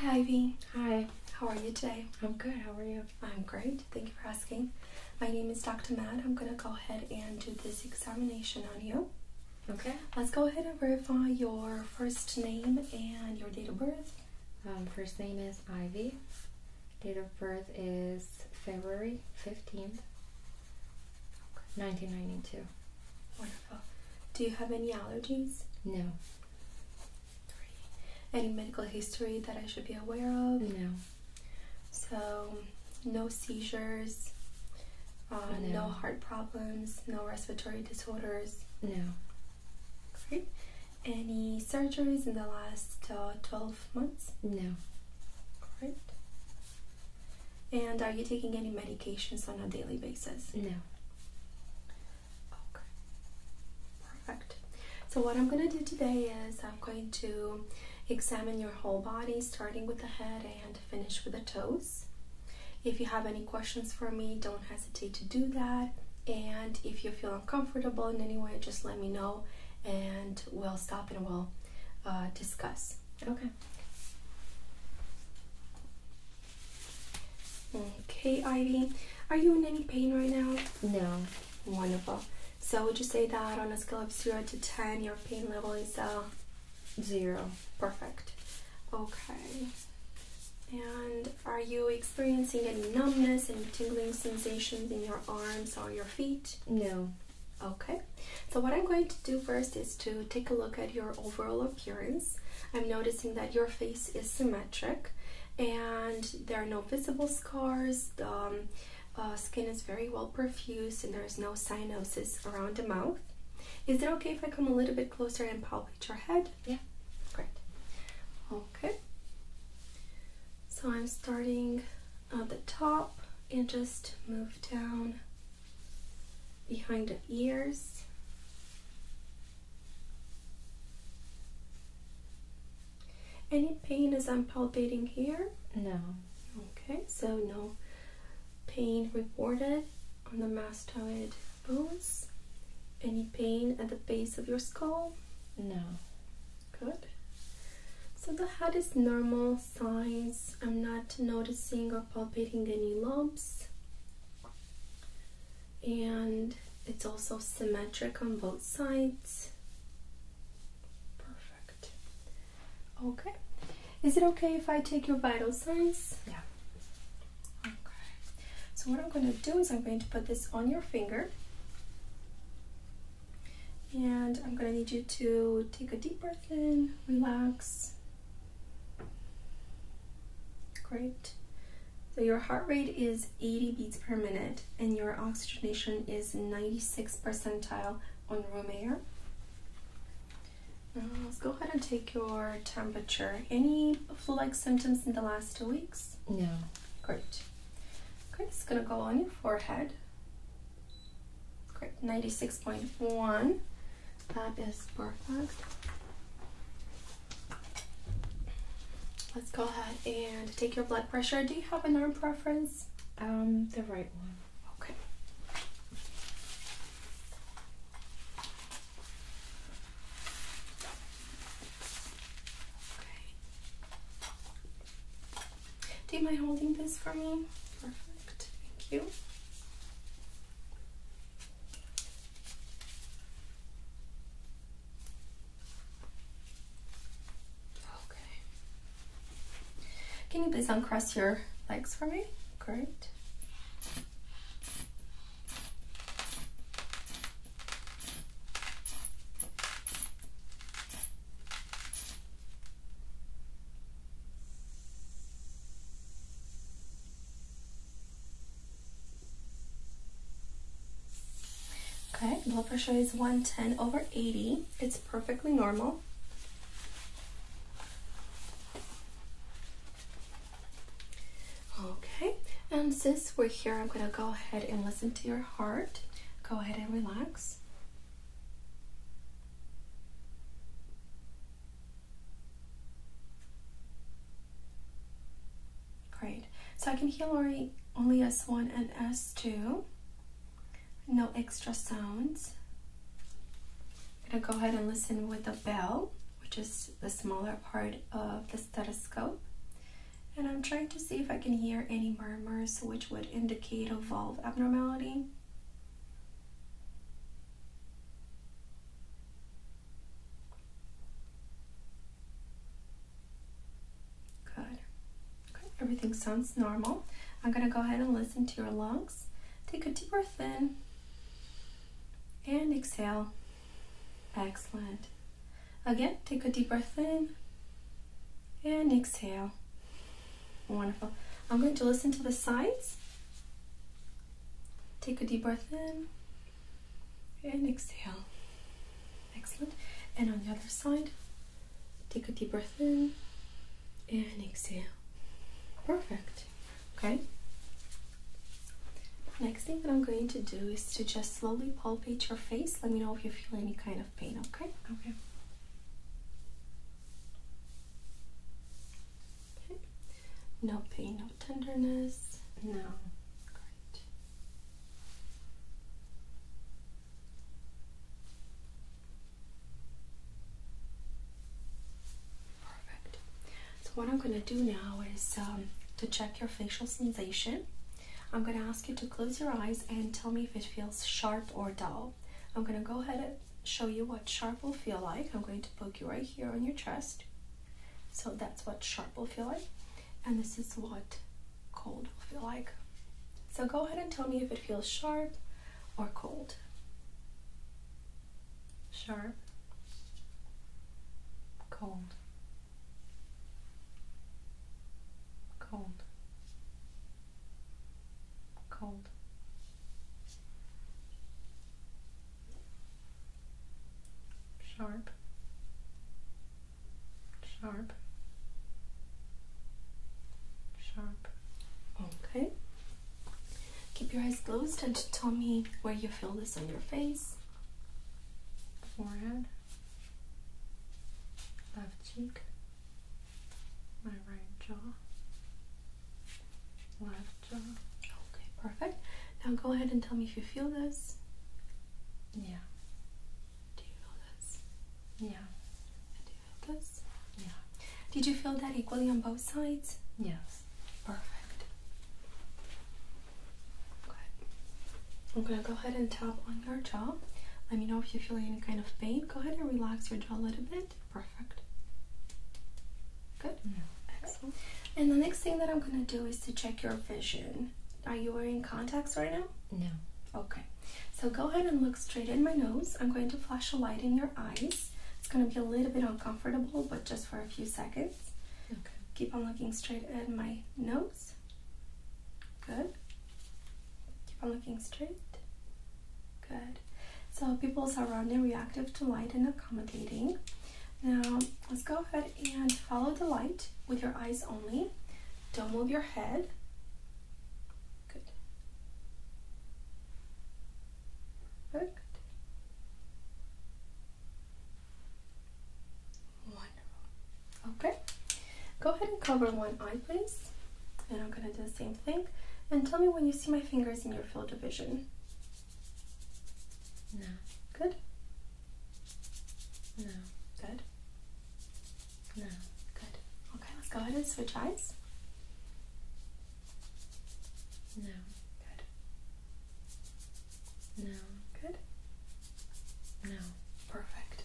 Hi Ivy. Hi. How are you today? I'm good. How are you? I'm great. Thank you for asking. My name is Dr. Matt. I'm going to go ahead and do this examination on you. Okay. Let's go ahead and verify your first name and your date of birth. Um, first name is Ivy. Date of birth is February 15th, 1992. Wonderful. Do you have any allergies? No. Any medical history that I should be aware of? No. So, no seizures, um, no. no heart problems, no respiratory disorders? No. Great any surgeries in the last uh, 12 months? No. Great. And are you taking any medications on a daily basis? No. Okay. Perfect. So, what I'm going to do today is I'm going to examine your whole body, starting with the head and finish with the toes. If you have any questions for me, don't hesitate to do that. And if you feel uncomfortable in any way, just let me know and we'll stop and we'll uh, discuss. Okay. Okay, Ivy, are you in any pain right now? No. Wonderful. So would you say that on a scale of 0 to 10, your pain level is uh, 0. Perfect. Okay. And are you experiencing any numbness, and tingling sensations in your arms hands your feet? No. Okay. So what I'm going to do first is to take a look at your overall appearance. I'm noticing that your face is symmetric and there are no visible scars. The um, uh, skin is very well perfused and there's no cyanosis around the mouth. Is it okay if I come a little bit closer and palpate your head? Yeah. Great. Okay. So I'm starting at the top and just move down behind the ears. Any pain as I'm palpating here? No. Okay, so no pain reported on the mastoid bones. Any pain at the base of your skull? No. Good. So the head is normal size. I'm not noticing or palpating any lumps. And it's also symmetric on both sides. Perfect. Okay. Is it okay if I take your vital signs? Yeah. Okay. So what I'm going to do is I'm going to put this on your finger. And I'm gonna need you to take a deep breath in, relax. Great. So your heart rate is 80 beats per minute and your oxygenation is 96 percentile on room air. Now let's go ahead and take your temperature. Any flu-like symptoms in the last two weeks? No. Great. Okay, it's gonna go on your forehead. Great, 96.1. That is perfect. Let's go ahead and take your blood pressure. Do you have an arm preference? Um, the right one. Okay. Do you mind holding this for me? Perfect. Thank you. Okay. Can you please uncross your legs for me? Great. Okay, blood pressure is 110 over 80. It's perfectly normal. Okay, and since we're here, I'm going to go ahead and listen to your heart. Go ahead and relax. Great. So I can hear only, only S1 and S2. No extra sounds. I'm going to go ahead and listen with the bell, which is the smaller part of the stethoscope. And I'm trying to see if I can hear any murmurs which would indicate a valve abnormality. Good. Okay, everything sounds normal. I'm going to go ahead and listen to your lungs. Take a deep breath in and exhale. Excellent. Again, take a deep breath in and exhale. Wonderful. I'm going to listen to the sides. Take a deep breath in and exhale. Excellent. And on the other side, take a deep breath in and exhale. Perfect. Okay. Next thing that I'm going to do is to just slowly palpate your face. Let me know if you feel any kind of pain, okay? Okay. Okay. No pain, no tenderness. No. Great. Perfect. So what I'm gonna do now is um, to check your facial sensation. I'm gonna ask you to close your eyes and tell me if it feels sharp or dull. I'm gonna go ahead and show you what sharp will feel like. I'm going to poke you right here on your chest. So that's what sharp will feel like. And this is what cold will feel like. So go ahead and tell me if it feels sharp or cold sharp, cold, cold, cold. Sharp, sharp, sharp. Okay. Keep your eyes closed and tell me where you feel this on your face forehead, left cheek, my right jaw, left jaw. Okay, perfect. Now go ahead and tell me if you feel this. Yeah. Do you feel this? Yeah. do you feel this? Yeah. Did you feel that equally on both sides? Yes. Perfect. Okay. I'm gonna go ahead and tap on your jaw. Let me know if you feel any kind of pain. Go ahead and relax your jaw a little bit. Perfect. Good. Excellent. And the next thing that I'm gonna do is to check your vision. Are you wearing contacts right now? No. Okay. So go ahead and look straight in my nose. I'm going to flash a light in your eyes. It's going to be a little bit uncomfortable, but just for a few seconds. Okay. Keep on looking straight at my nose. Good. Keep on looking straight. Good. So pupils are round reactive to light and accommodating. Now let's go ahead and follow the light with your eyes only. Don't move your head. Good. Good. Wonderful. Okay. Go ahead and cover one eye, please. And I'm going to do the same thing. And tell me when you see my fingers in your field of vision. No. Good? No. Good? No. Good. Okay, let's go ahead and switch eyes. Now, good. Now, good. Now, perfect.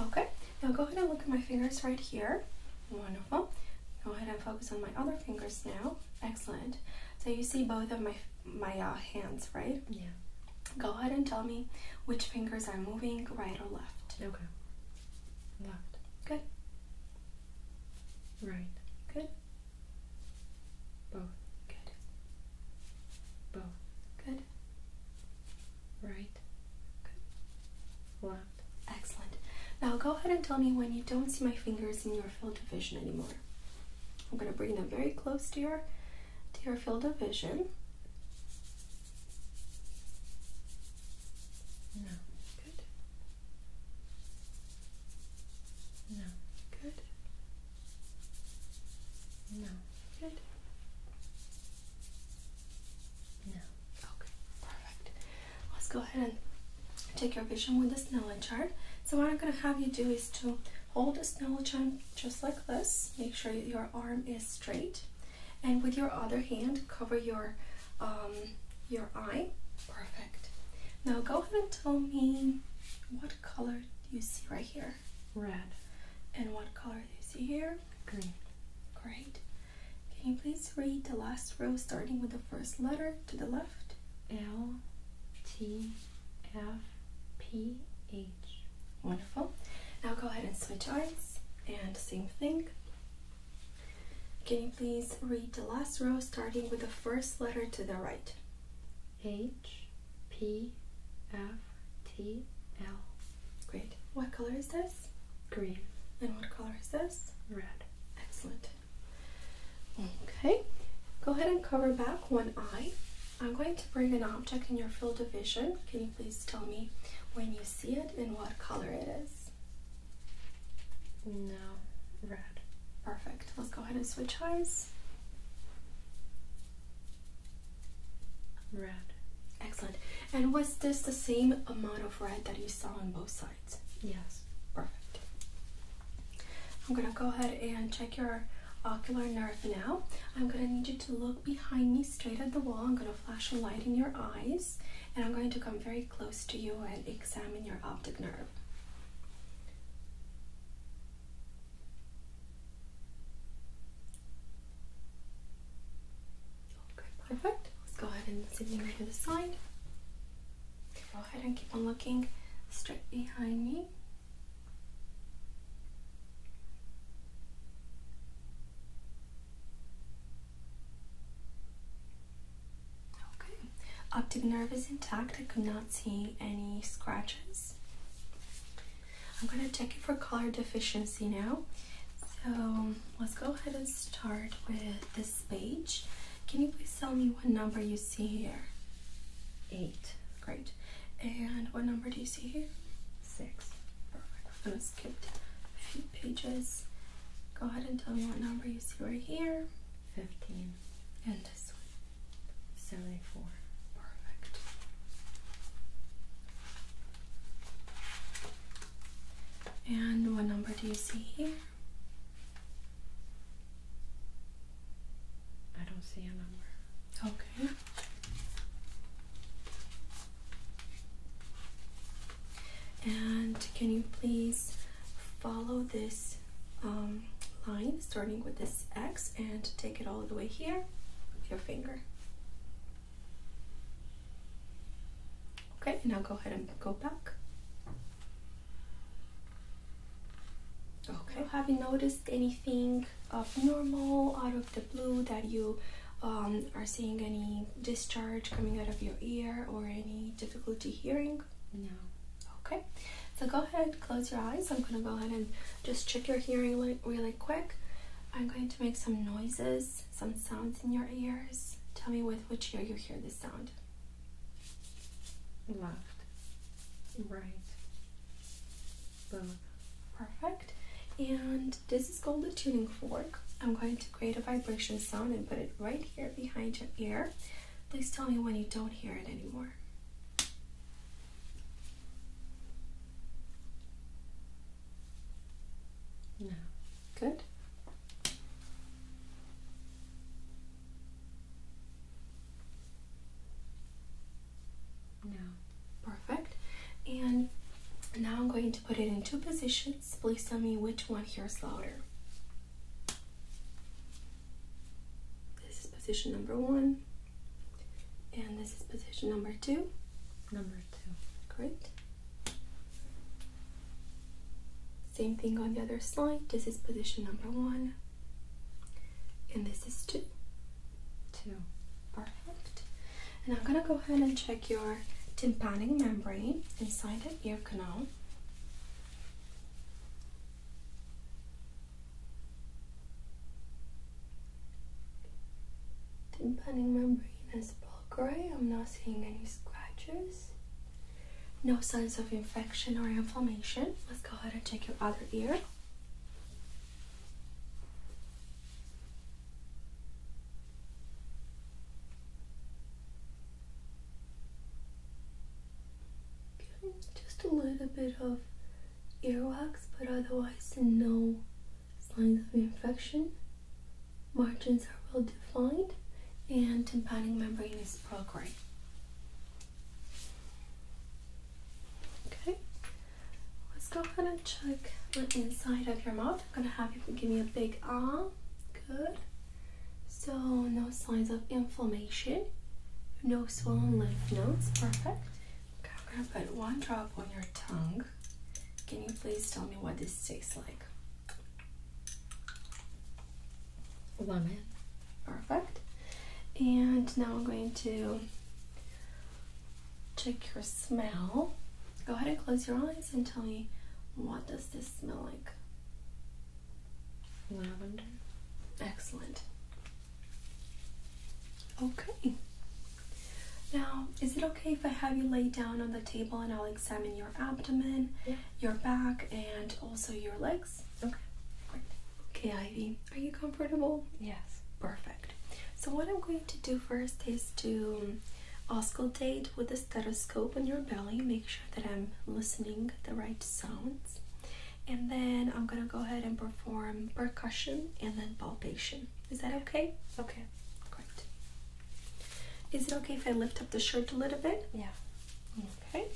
Okay, now go ahead and look at my fingers right here. Wonderful. Go ahead and focus on my other fingers now. Excellent. So you see both of my my uh, hands, right? Yeah. Go ahead and tell me which fingers are moving, right or left. Okay. Left. Good. Right. Good. Both. Good. Both. Good. Right. Good. Left. Excellent. Now go ahead and tell me when you don't see my fingers in your field of vision anymore. I'm going to bring them very close to your to your field of vision. No. Good. No. Good. No. Good. No. Okay. Perfect. Let's go ahead and take your vision with the Snellen chart. So what I'm going to have you do is to hold the Snellen chart just like this. Make sure your arm is straight. And with your other hand, cover your um, your eye. Perfect. Now go ahead and tell me what color do you see right here? Red. And what color do you see here? Green. Great. Can you please read the last row starting with the first letter to the left? L T F P H. Wonderful. Now go ahead and switch eyes and same thing. Can you please read the last row starting with the first letter to the right? H P F T L. Great. What color is this? Green. And what color is this? Red. Excellent. Okay. Go ahead and cover back one eye. I'm going to bring an object in your field of vision. Can you please tell me when you see it and what color it is? No, red. Perfect. Let's go ahead and switch eyes. Red. Excellent. And was this the same amount of red that you saw on both sides? Yes. Perfect. I'm going to go ahead and check your ocular nerve now. I'm going to need you to look behind me straight at the wall. I'm going to flash a light in your eyes and I'm going to come very close to you and examine your optic nerve. perfect. Let's go ahead and sit in to the side. Go ahead and keep on looking straight behind me. Okay, optic nerve is intact. I could not see any scratches. I'm going to check it for color deficiency now. So let's go ahead and start with this page. Can you please tell me what number you see here? Eight. Great. And what number do you see here? Six. I'm going to skip a few pages. Go ahead and tell me what number you see right here. 15. And this one. 74. Perfect. And what number do you see here? I don't see a number. Okay. And can you please follow this um, line starting with this X and take it all the way here with your finger. Okay, now go ahead and go back. Okay, have you noticed anything abnormal out of the blue that you um, are seeing any discharge coming out of your ear or any difficulty hearing? No. Okay, so go ahead, close your eyes. I'm going to go ahead and just check your hearing li really quick. I'm going to make some noises, some sounds in your ears. Tell me with which ear you hear this sound. Left, right, both. Perfect. And this is called the tuning fork. I'm going to create a vibration sound and put it right here behind your ear. Please tell me when you don't hear it anymore. No. Good. No. Perfect. And now I'm going to put it into position please tell me which one hears louder. This is position number one, and this is position number two. Number two. Great. Same thing on the other side. This is position number one, and this is two. Two. Perfect. And I'm gonna go ahead and check your tympanic membrane inside it ear canal. my brain is all gray. I'm not seeing any scratches. No signs of infection or inflammation. Let's go ahead and check your other ear just a little bit of earwax, but otherwise no signs of infection. Margins are well defined and tympanic membrane is procreate. Okay, let's go ahead and check the inside of your mouth. I'm gonna have you give me a big R. Ah. Good. So no signs of inflammation. No swollen lymph nodes. Perfect. I'm gonna put one drop on your tongue. Can you please tell me what this tastes like? Lemon. Perfect. And now I'm going to check your smell. Go ahead and close your eyes and tell me what does this smell like? Lavender. Excellent. Okay. Now, is it okay if I have you lay down on the table and I'll examine your abdomen, your back, and also your legs? Okay. Okay, Ivy, are you comfortable? Yes. Perfect. So, what I'm going to do first is to auscultate with the stethoscope on your belly, make sure that I'm listening the right sounds, and then I'm gonna go ahead and perform percussion and then palpation. Is that okay? Okay. Great. Is it okay if I lift up the shirt a little bit? Yeah. Okay.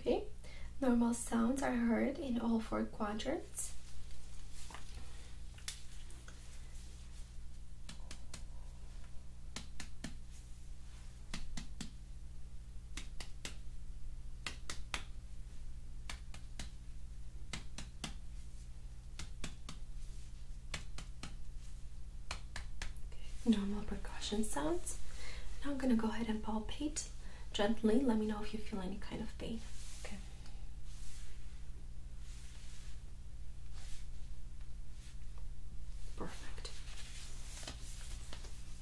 Okay, normal sounds are heard in all four quadrants normal percussion sounds. Now I'm gonna go ahead and palpate gently. Let me know if you feel any kind of pain. Okay. Perfect.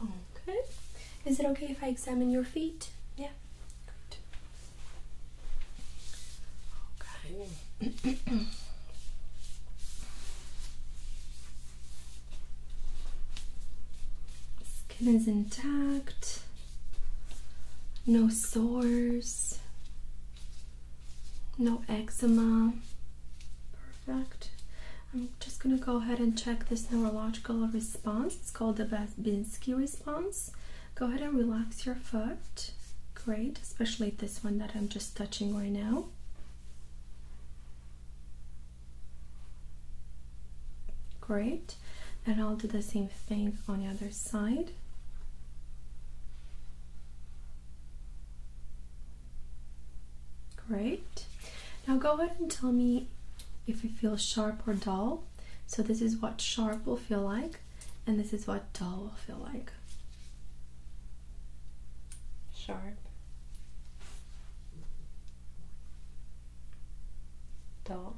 Okay. Is it okay if I examine your feet? Yeah. Good. Okay. Skin is intact. No sores. No eczema. Perfect. I'm just going to go ahead and check this neurological response. It's called the Babinski response. Go ahead and relax your foot. Great, especially this one that I'm just touching right now. Great. And I'll do the same thing on the other side. Great. Now go ahead and tell me if you feel sharp or dull. So this is what sharp will feel like, and this is what dull will feel like. Sharp. Dull.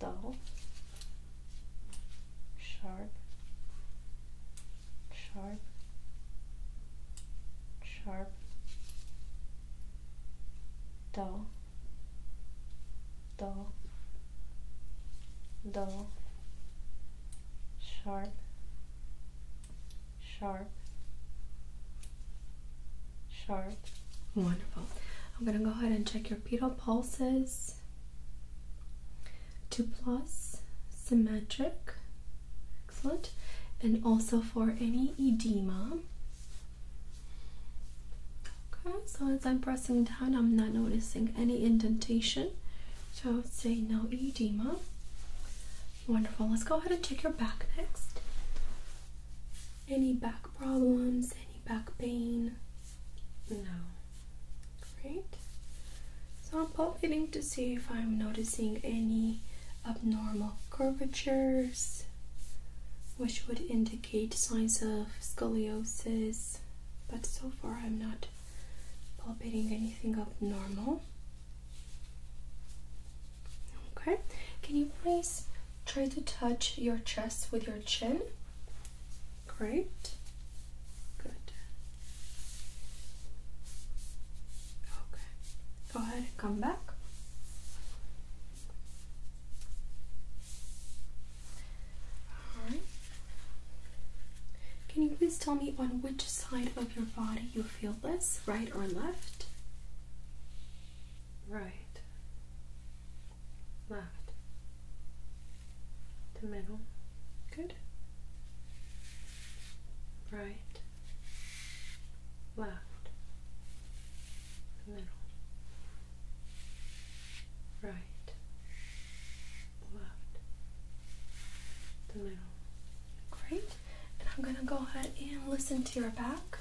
Dull sharp, sharp, sharp, dull, dull, dull, sharp, sharp, sharp. Wonderful. I'm going to go ahead and check your pedal pulses two plus symmetric excellent and also for any edema okay so as i'm pressing down i'm not noticing any indentation so i would say no edema wonderful let's go ahead and check your back next any back problems any back pain no. Great. So I'm palpating to see if I'm noticing any abnormal curvatures, which would indicate signs of scoliosis, but so far I'm not palpating anything abnormal. Okay, can you please try to touch your chest with your chin? Great. Good. Okay. Go ahead come back. Alright. Can you please tell me on which side of your body you feel this? Right or left? Right left, the middle, good, right, left, the middle, right, left, the middle. Great, and I'm going to go ahead and listen to your back.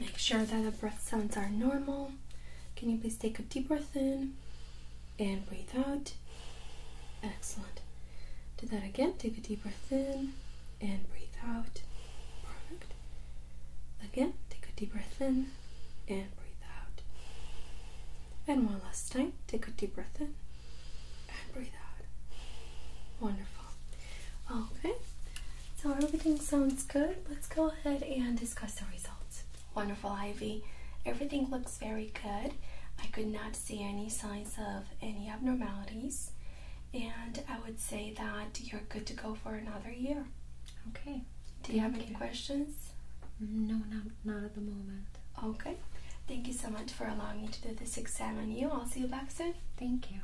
Make sure that the breath sounds are normal. Can you please take a deep breath in and breathe out? Excellent. Do that again. Take a deep breath in and breathe out. Perfect. Again, take a deep breath in and breathe out. And one last time. Take a deep breath in and breathe out. Wonderful. Okay. So everything sounds good. Let's go ahead and discuss the results. Wonderful, Ivy. Everything looks very good. I could not see any signs of any abnormalities. And I would say that you're good to go for another year. Okay. Do you have any questions? No, not, not at the moment. Okay. Thank you so much for allowing me to do this exam on you. I'll see you back soon. Thank you.